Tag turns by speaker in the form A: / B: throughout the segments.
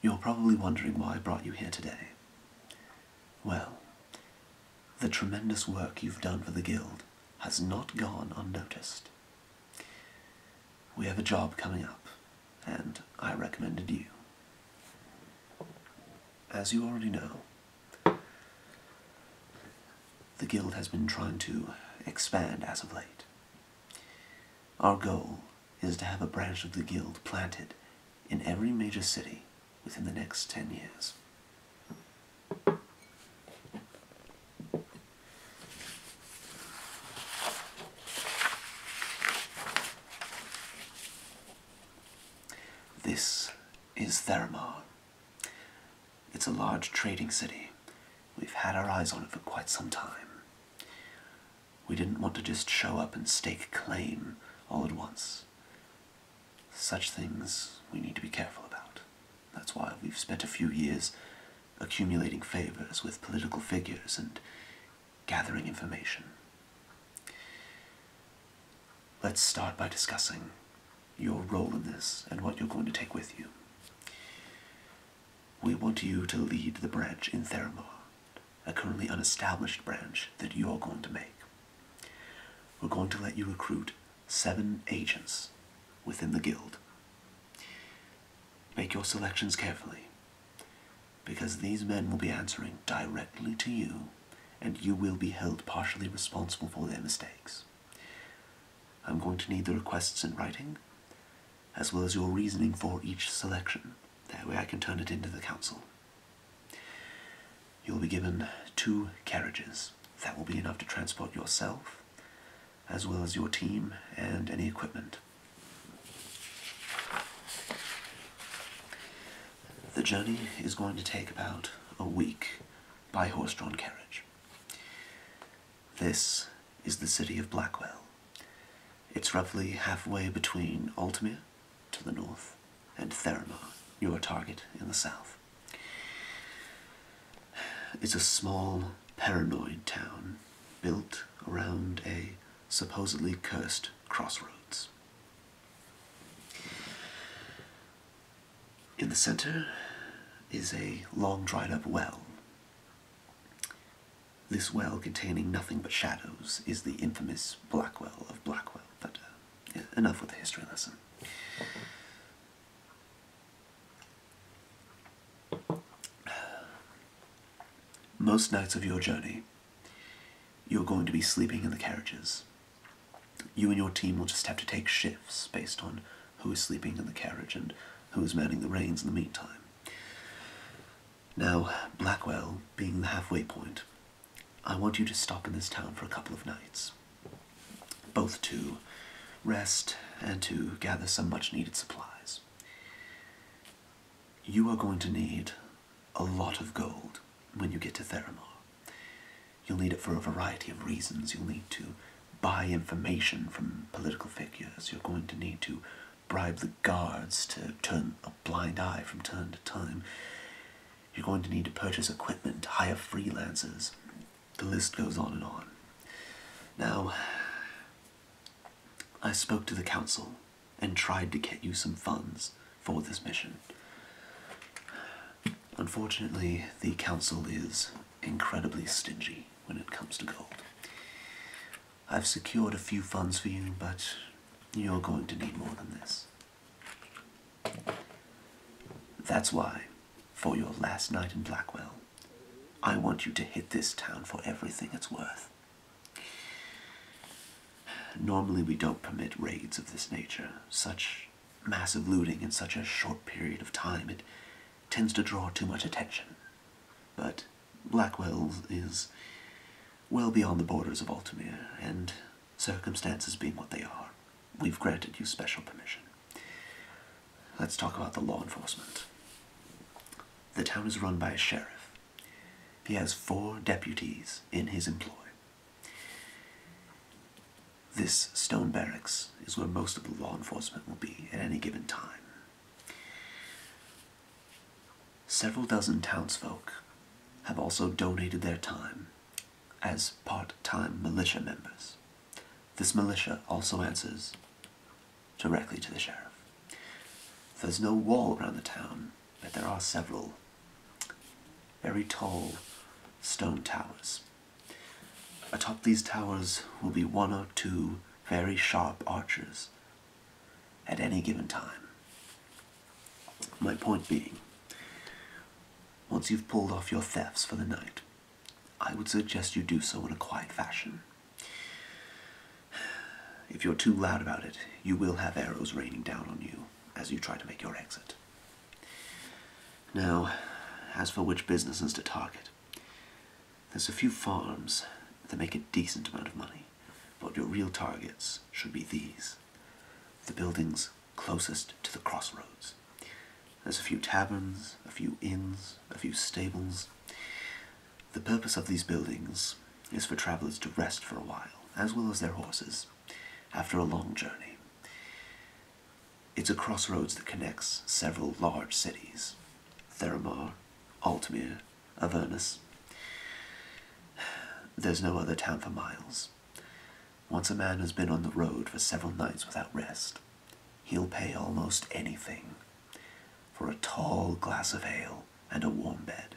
A: You're probably wondering why I brought you here today. Well, the tremendous work you've done for the Guild has not gone unnoticed. We have a job coming up, and I recommended you. As you already know, the Guild has been trying to expand as of late. Our goal is to have a branch of the guild planted in every major city within the next 10 years. This is Theramar. It's a large trading city. We've had our eyes on it for quite some time. We didn't want to just show up and stake claim all at once. Such things we need to be careful about. That's why we've spent a few years accumulating favors with political figures and gathering information. Let's start by discussing your role in this and what you're going to take with you. We want you to lead the branch in Theramond, a currently unestablished branch that you're going to make. We're going to let you recruit seven agents within the guild. Make your selections carefully, because these men will be answering directly to you, and you will be held partially responsible for their mistakes. I'm going to need the requests in writing, as well as your reasoning for each selection. That way I can turn it into the council. You'll be given two carriages. That will be enough to transport yourself, as well as your team and any equipment. The journey is going to take about a week by horse-drawn carriage. This is the city of Blackwell. It's roughly halfway between Altamir to the north and Theramar, your target in the south. It's a small, paranoid town built around a supposedly cursed crossroads. In the center is a long dried up well. This well, containing nothing but shadows, is the infamous Blackwell of Blackwell. But uh, enough with the history lesson. Most nights of your journey, you're going to be sleeping in the carriages. You and your team will just have to take shifts based on who is sleeping in the carriage and who is was the reins in the meantime. Now, Blackwell being the halfway point, I want you to stop in this town for a couple of nights, both to rest and to gather some much needed supplies. You are going to need a lot of gold when you get to Theramore. You'll need it for a variety of reasons. You'll need to buy information from political figures. You're going to need to bribe the guards to turn a blind eye from time to time. You're going to need to purchase equipment, hire freelancers. The list goes on and on. Now, I spoke to the council and tried to get you some funds for this mission. Unfortunately, the council is incredibly stingy when it comes to gold. I've secured a few funds for you, but you're going to need more than this. That's why, for your last night in Blackwell, I want you to hit this town for everything it's worth. Normally we don't permit raids of this nature. Such massive looting in such a short period of time. It tends to draw too much attention. But Blackwell's is well beyond the borders of Altamir, and circumstances being what they are, we've granted you special permission. Let's talk about the law enforcement. The town is run by a sheriff. He has four deputies in his employ. This stone barracks is where most of the law enforcement will be at any given time. Several dozen townsfolk have also donated their time as part time militia members. This militia also answers directly to the sheriff. There's no wall around the town, but there are several very tall stone towers. Atop these towers will be one or two very sharp archers at any given time. My point being, once you've pulled off your thefts for the night, I would suggest you do so in a quiet fashion. If you're too loud about it, you will have arrows raining down on you as you try to make your exit. Now, as for which businesses to target, there's a few farms that make a decent amount of money, but your real targets should be these the buildings closest to the crossroads. There's a few taverns, a few inns, a few stables. The purpose of these buildings is for travelers to rest for a while, as well as their horses after a long journey. It's a crossroads that connects several large cities Theramar, Altamir, Avernus. There's no other town for miles. Once a man has been on the road for several nights without rest, he'll pay almost anything for a tall glass of ale and a warm bed,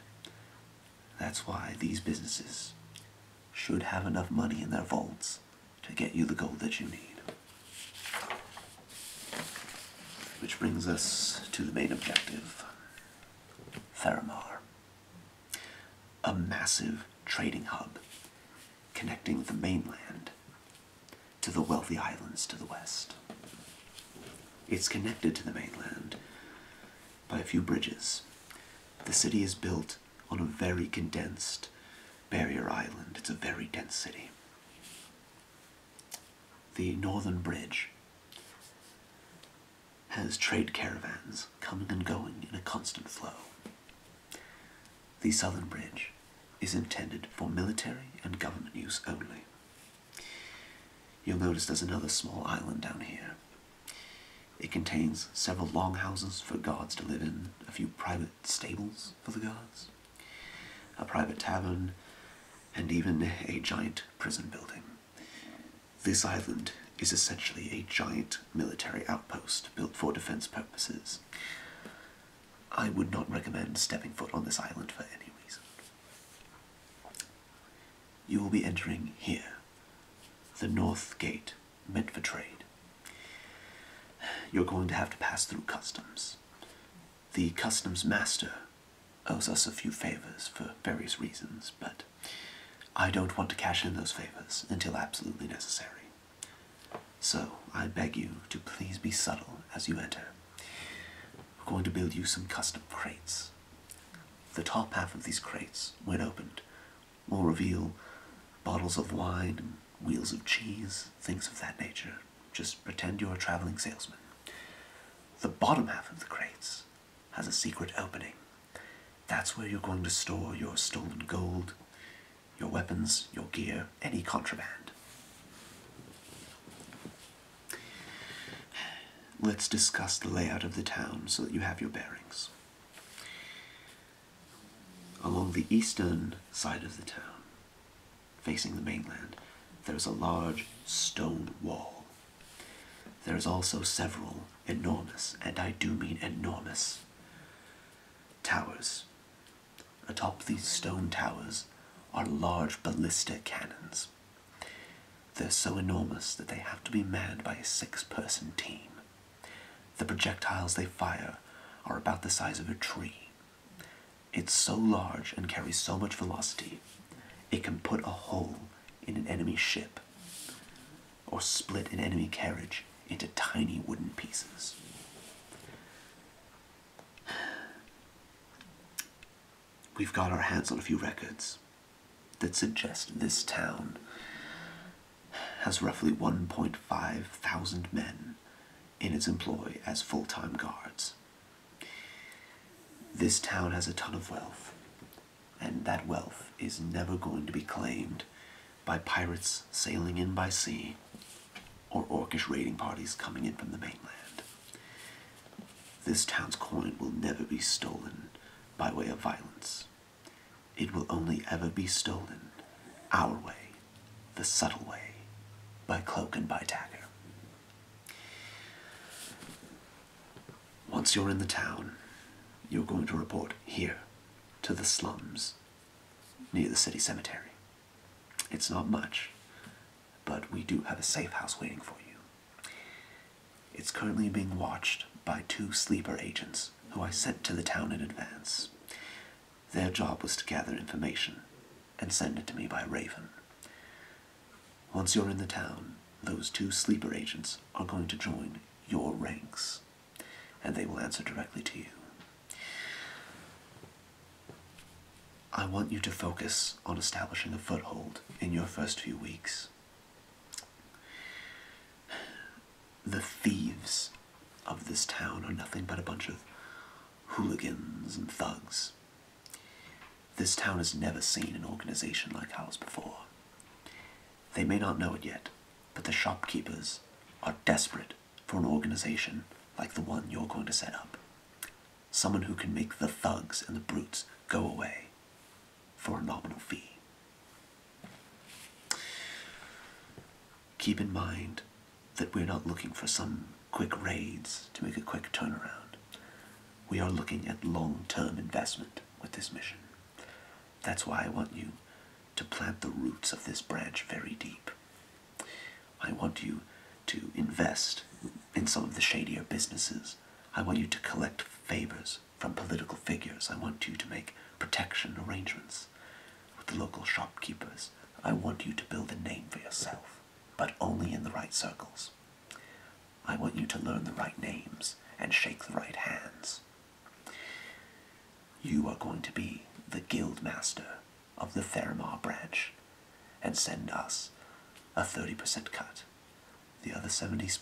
A: that's why these businesses should have enough money in their vaults to get you the gold that you need. Which brings us to the main objective Theramar. A massive trading hub connecting the mainland to the wealthy islands to the west. It's connected to the mainland by a few bridges. The city is built on a very condensed barrier island. It's a very dense city. The northern bridge has trade caravans coming and going in a constant flow. The southern bridge is intended for military and government use only. You'll notice there's another small island down here it contains several longhouses for guards to live in, a few private stables for the guards, a private tavern, and even a giant prison building. This island is essentially a giant military outpost built for defense purposes. I would not recommend stepping foot on this island for any reason. You will be entering here the North Gate meant for trade. You're going to have to pass through customs. The customs master owes us a few favors for various reasons, but I don't want to cash in those favors until absolutely necessary. So I beg you to please be subtle as you enter. We're going to build you some custom crates the top half of these crates, when opened, will reveal bottles of wine wheels of cheese, things of that nature. Just pretend you're a traveling salesman. The bottom half of the crates has a secret opening. That's where you're going to store your stolen gold, your weapons, your gear, any contraband. Let's discuss the layout of the town so that you have your bearings. Along the eastern side of the town, facing the mainland, there is a large stone wall. There is also several enormous, and I do mean enormous, towers. Atop these stone towers are large ballista cannons. They're so enormous that they have to be manned by a six person team. The projectiles they fire are about the size of a tree. It's so large and carries so much velocity, it can put a hole in an enemy ship or split an enemy carriage into tiny wooden pieces we've got our hands on a few records that suggest this town has roughly 1.5 thousand men in its employ as full time guards. This town has a ton of wealth, and that wealth is never going to be claimed by pirates sailing in by sea or orcish raiding parties coming in from the mainland. This town's coin will never be stolen by way of violence. It will only ever be stolen our way, the subtle way, by cloak and by dagger. Once you're in the town, you're going to report here to the slums near the city cemetery. It's not much, but we do have a safe house waiting for you. It's currently being watched by two sleeper agents who I sent to the town in advance. Their job was to gather information and send it to me by Raven. Once you're in the town, those two sleeper agents are going to join your ranks, and they will answer directly to you. I want you to focus on establishing a foothold in your first few weeks. The thieves of this town are nothing but a bunch of hooligans and thugs. This town has never seen an organization like ours before. They may not know it yet, but the shopkeepers are desperate for an organization like the one you're going to set up. Someone who can make the thugs and the brutes go away for a nominal fee. Keep in mind that we're not looking for some quick raids to make a quick turnaround. We are looking at long-term investment with this mission. That's why I want you to plant the roots of this branch very deep I want you to invest in some of the shadier businesses. I want you to collect favors from political figures. I want you to make protection arrangements with the local shopkeepers. I want you to build a name for yourself, but only in the right circles. I want you to learn the right names and shake the right hands. You are going to be the guild master of the Ferrimar branch and send us a 30% cut. The other 70%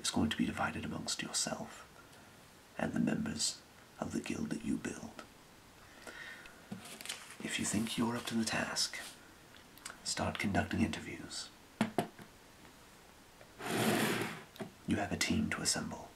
A: is going to be divided amongst yourself and the members of the guild that you build. If you think you're up to the task, start conducting interviews. You have a team to assemble.